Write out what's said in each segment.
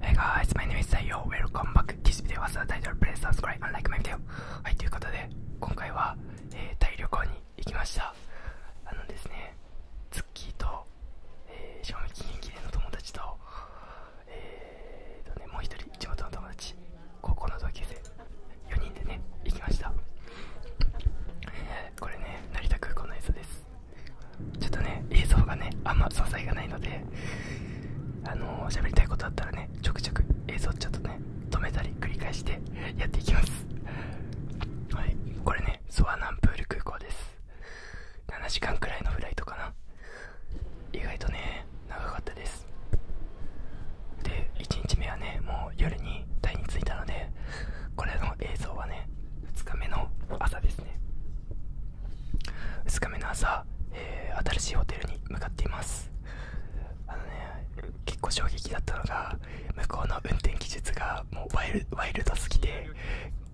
Hey guys, my name is Sayo. Welcome back. This video was the t i t l はい、ということで、今回は、えー、タイ旅行に行きました。あのですね、ツッキーと、え賞味期限切れの友達と、えーとね、もう一人、地元の友達、高校の同級生、4人でね、行きました。これね、成田空港の映像です。ちょっとね映像がねあんま素材がないのであの喋、りたいことあったらねちょくちょく映像ちょっとね止めたり繰り返してやっていきますはいこれねソアナンプール空港です7時間くらいのフライトかな意外とね長かったですで1日目はねもう夜に台に着いたのでこれの映像はね2日目の朝ですね2日目の朝、え新しいホテルに向かっていますあのね結構衝撃だったのが向こうの運転技術がもうワイルド好きで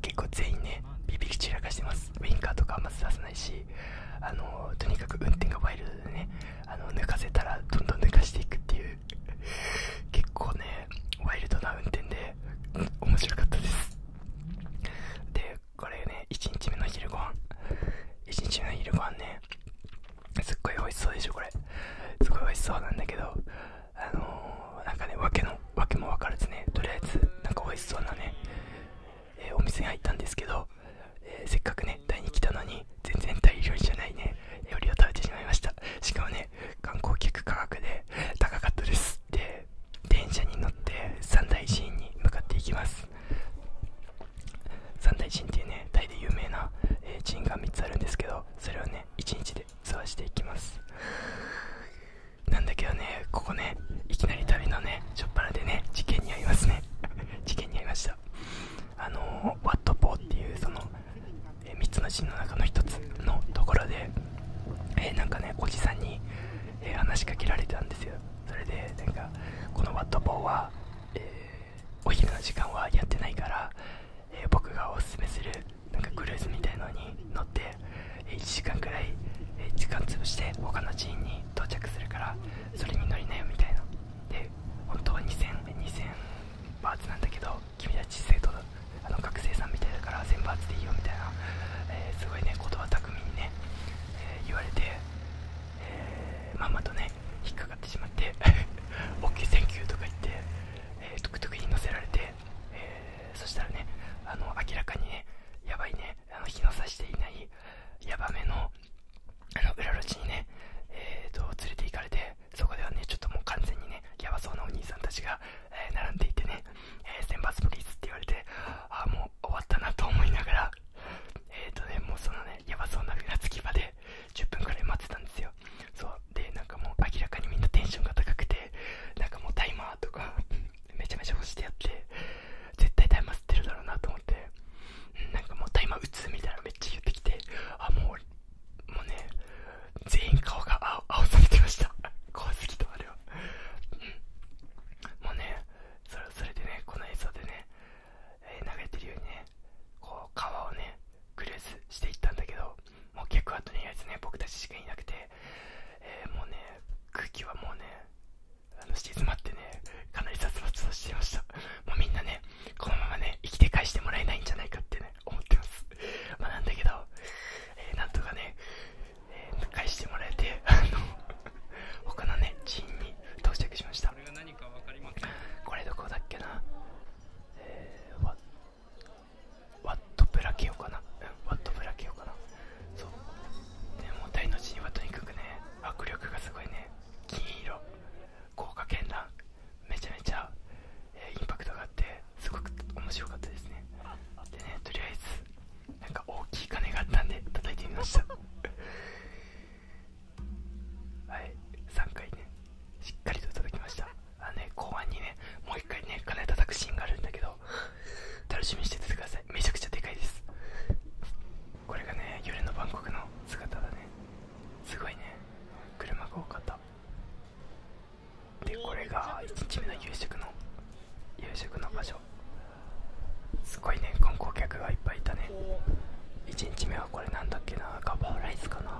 結構全員ねビビり散らかしてますウインカーとかあんまず出さないしあのとにかく運転がワイルドでねあの抜かせたらどんどん抜かしていくっていう結構ねワイルドな運転で面白かったですでこれね1日目の昼ごはん1日目の昼ごはんねすっごい美味しそうでしょこれすごい美味しそうなんだけどあのー、なんかね訳の訳も分からずねとりあえずなんか美味しそうなね、えお店に入ったんですけど、えせっかくねタイに来たのに全然タイ料理じゃないね料理を食べてしまいましたしかもね観光客価格で高かったです走電車に乗って三大寺院に向かっていきます三大寺院っていうねタイで有名な、え寺院が3つあるんですけどそれをね1日でツアしていきますなんだけどねここねいきなり旅のねしょっぱなでね事件にありますね 事件にありましたあのワットポーっていうそのえ3つのシーの中の1つのところで、えなんかねおじさんに、え話しかけられたんですよそれでなんかこのワットポーは、えお昼の時間はやってないから、え僕がおすすめするなんかクルーズみたいなのに乗って、え1時間くらい、え時間潰して他の寺院に到着するからそれに乗りなよみたいなで本当は20002000バーツなんだけど君たち生徒だあの学生さんみたいだから全部集めていいよみたいな、えすごいね言葉巧みにね、え言われて、えー、まんまとね引っかかってしまって OK センキューとか言って、えー、トゥクトクに乗せられて、えそしたらねあの明らかにねやばいねあの日の差していないヤバめのあの裏路地にねえー、と連れて行かれてそこではねちょっともう完全にねヤバそうなお兄さんたちがえ並んでいてね、え選抜プリーズって言われて、あもう終わったなと思いながら、えっ、ー、とね、もうそのね、やばそうなふらつきまで10分くらい待ってたんですよ。そう、で、なんかもう明らかにみんなテンションが高くて、なんかもうタイマーとか めちゃめちゃ干してやって、絶対タイマー吸ってるだろうなと思って、なんかもうタイマー打つみたいなめっちゃ言ってきて、あ、もうもうね全員顔が青青されてました 怖すぎたあれはもうねそれそれでねこの映像でね、えー、流れてるようにねこう川をねクルーズしていったんだけどもう客はとりあえずね僕たちしかいなくて、えもうね空気はもうねあの静まってねかなり殺伐としてましたもうみんなねこのままね生きて返してもらえないんじゃないかってね思ってます まなんだけど、えなんとかね、えー、返してもらえて、他のね、寺院に到着しました。これが何かわかりませこれどこだっけなえー、ワワットブラケオかなうん、ワットブラケオかなそう。でも、大の寺院はとにかくね、握力がすごいね。金色、豪華圏乱、めちゃめちゃえインパクトがあってすごく面白かったですねでねとりあえずなんか大きい金があったんで叩いてみました はい3回ねしっかりと叩きましたあのね後半にねもう1回ね鐘叩くシーンがあるんだけど楽しみにしててくださいめちゃくちゃでかいですこれがね夜のバンコクの姿だねすごいね車が多かったでこれが1日目の夕食の夕食の場所すごいね観光客がいっぱいいたね1日目はこれなんだっけなガパオライスかな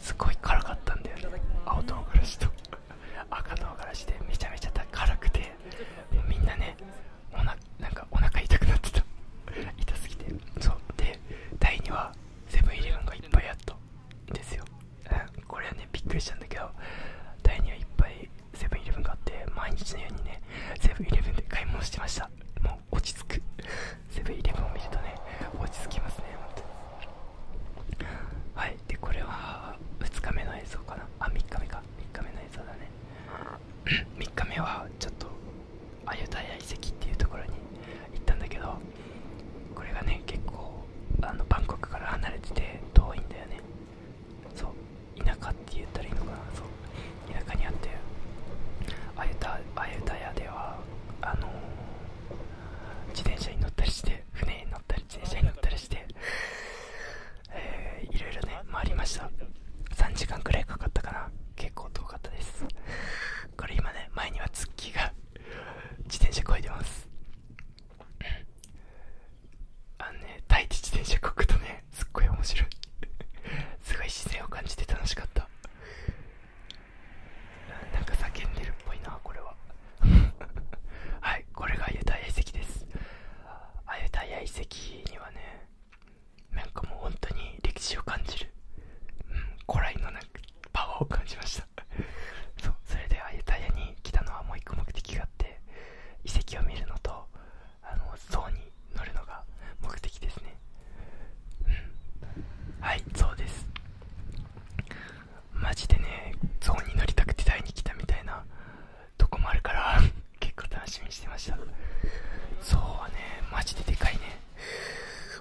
すごい辛かったんだよね青唐辛子と 赤唐辛子でめちゃめちゃ辛くてもうみんなねおななんかお腹痛くなってた痛すぎてそうで第2はセブンイレブンがいっぱいあったですよこれはねびっくりしたんだけどタイにはいっぱいセブンイレブンがあって毎日のようにねセブンイレブンで買い物してましたもう落ち着くセブンイレブンを見るとね落ち着きますね本当にはいでこれは2日目の映像かなあ3日目か3日目の映像だね3日目はちょっとアユタヤ遺跡っていうところに行ったんだけどこれがね結構あのバンコクから離れてて遠いんだよねそう田舎って言ったらいいのかなそう田舎にあってアユタアユタヤではあの自転車に乗ったりして船に乗ったり自転車に乗ったりしてえー、いろいろね回りました3時間くらいかかったかな結構遠かったですこれ今ね前にはツッキーが自転車こいでますあのねタイ自転車こくとねすっごい面白いすごい姿勢を感じて楽しかったなんか叫んでるっぽいなこれは はいこれがアユタ遺跡ですアユタイ遺跡にはねなんかもう本当に歴史を感じる、うん、古来のなかパワーを感じました そうそれではユタイヤに来たのはもう1個目的があって遺跡を見るのとあの象に乗るのが目的ですねうんはいそうですマジでね象に乗りたくてタイに来たみたいなとこもあるから 結構楽しみにしてました象はねマジででかいね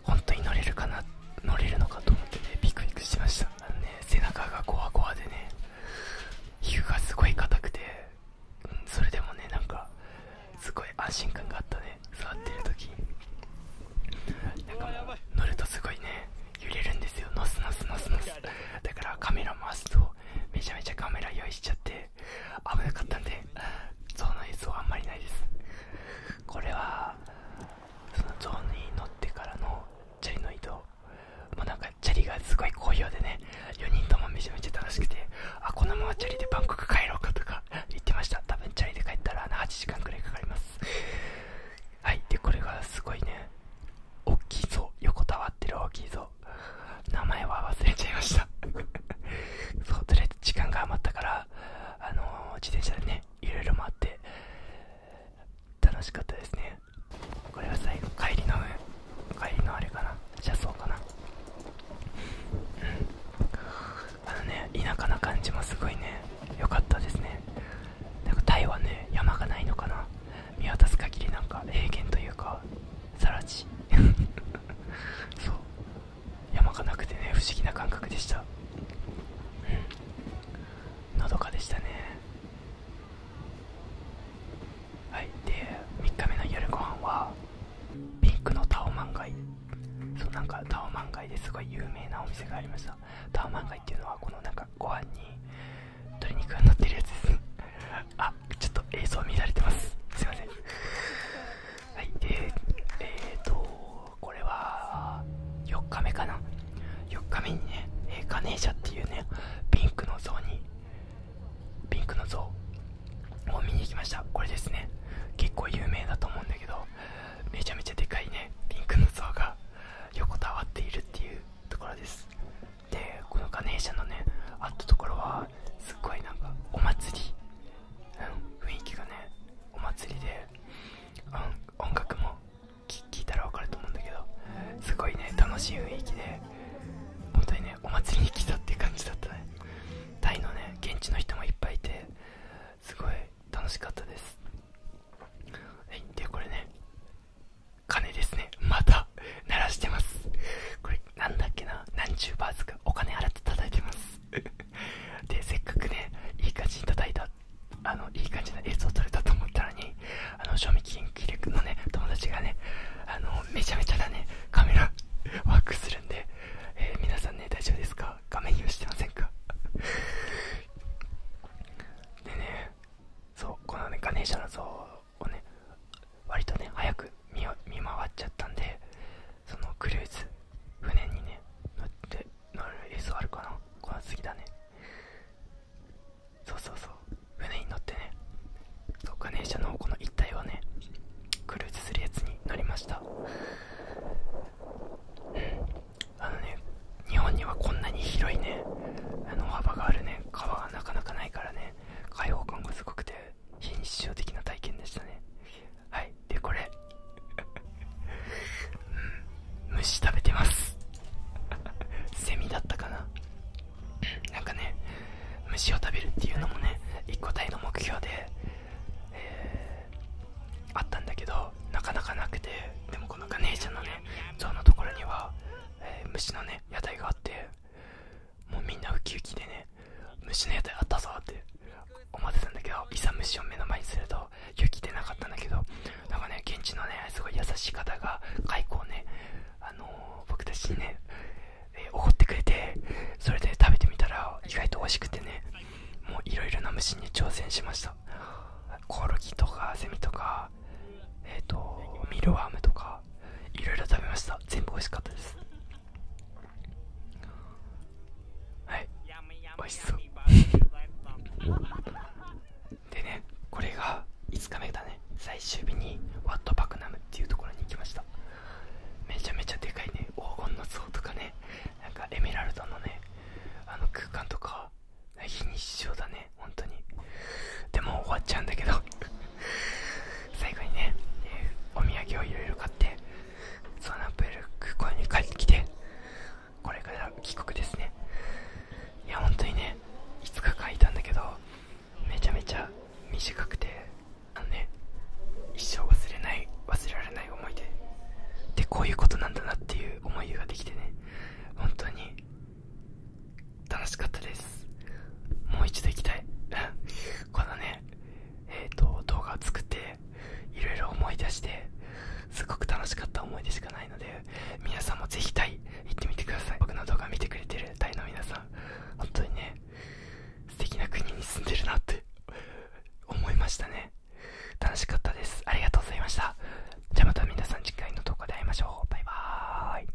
本当に乗れるかな乗れるのかと思ってねビクビクしましたあのね背中がゴワゴワでね皮膚がすごい硬くて、うん、それでもねなんかすごい安心感があったね座ってる時なんかもう乗るとすごいね揺れるんですよノすノすノすノす。だからカメラ回すとめちゃめちゃカメラ用意しちゃって危なかったんで象の映像はあんまりないですこれはゾーンに乗ってからのチャリの移動もなんかチャリがすごい好評でね4人ともめちゃめちゃ楽しくてあこのままチャリでバンコク帰ろうかとか言ってました多分チャリで帰ったら8時間くらいかかりますはいでこれがすごいね大きいぞ横たわってる大きいぞ。名前は忘れちゃいました そうとりあえず時間が余ったからあの自転車でねいろいろ回って楽しかったですねこれは最後帰りの帰りのあれかな車窓かなうんあのね田舎な感じもすごいね良かったですねなんかタイはね山がないのかな見渡す限りなんか平原というかさら地そう 山がなくてね不思議な感覚でしたうんのどかでしたねはいで3日目の夜ご飯はピンクのタオマンガイそうなんかタオマンガイですごい有名なお店がありましたタオマンガイっていうのはこのなんかご飯に鶏肉が乗ってるやつですねあちょっと映像乱れてますすいませんはいでえっ、とこれは4日目かな4日目にねガネーシャっていうねピンクの像にピンクの像を見に行きましたこれですね結構有名だと思うんだけどめちゃめちゃでかいねピンクの像が横たわっているっていうところですでこのガネーシャのねあったところはすっごいなんかお祭り雰囲気がねお祭りで、音楽も聴いたら分かると思うんだけどすごいね楽しい雰囲気で本当にねお祭りに来たっていう感じだったねタイのね現地の人もいっぱいいてすごい楽しかったですはいでこれね鐘ですねまた鳴らしてますなんだっけな何十バーズかお金払って叩いてますでせっかくねいい感じに叩いたあのいい感じの映像を撮れたと思ったのにあの賞味期限切れのね友達がねあのめちゃめちゃだねカメラ ワークするんで、え皆さんね大丈夫ですか画面用意してませんかでねそうこのねガネーシャの像をね割とね早く見回っちゃったんでそのクルーズ船にね乗って乗る映像あるかなこの次だねそうそうそう船に乗ってねそうガネーシャのこの一帯をねクルーズするやつに乗りましたあのね日本にはこんなに広いねあの幅があるね川がなかなかないからね開放感がすごくて非日的な体験でしたねはいでこれ虫食べてますセミだったかななんかね虫を食べるっていうのもね一個体の目標で、あったんだけどなかなかなくてでもこのガネーシャのね像のところには、え虫のね屋台があってもうみんなウキウキでね虫のやつあったぞって思ってたんだけどいざ虫を目の前にすると勇気出なかったんだけどなんかね現地のねすごい優しい方が蚕をねあの僕たちにねおえー、ってくれてそれで食べてみたら意外と美味しくてねもういろいろな虫に挑戦しましたコオロギとかセミとかえっ、とミルワームとかいろいろ食べました全部美味しかったですはい美味しそう でねこれが5日目だね最終日にワットパクナムっていうところに行きましためちゃめちゃでかいね黄金の像とかねなんかエメラルドのねあの空間とか非日常だね本当にでも終わっちゃうんだけど 最後にね、えお土産をいろいろ買ってソーナンプール空港に帰ってきてこれから帰国ですねいや本当にねいつか書いたんだけどめちゃめちゃ短くてあのね一生忘れない忘れられない思い出でこういうことなんだなっていう思いができてね本当に楽しかったですもう一度行きたい このねえっ、と動画を作っていろいろ思い出してすっごく楽しかった思い出しかないので皆さんもぜひタイ行ってみてください僕の動画見てくれてるタイの皆さん本当にね素敵な国に住んでるなって思いましたね楽しかったですありがとうございましたじゃあまた皆さん次回の動画で会いましょうバイバーイ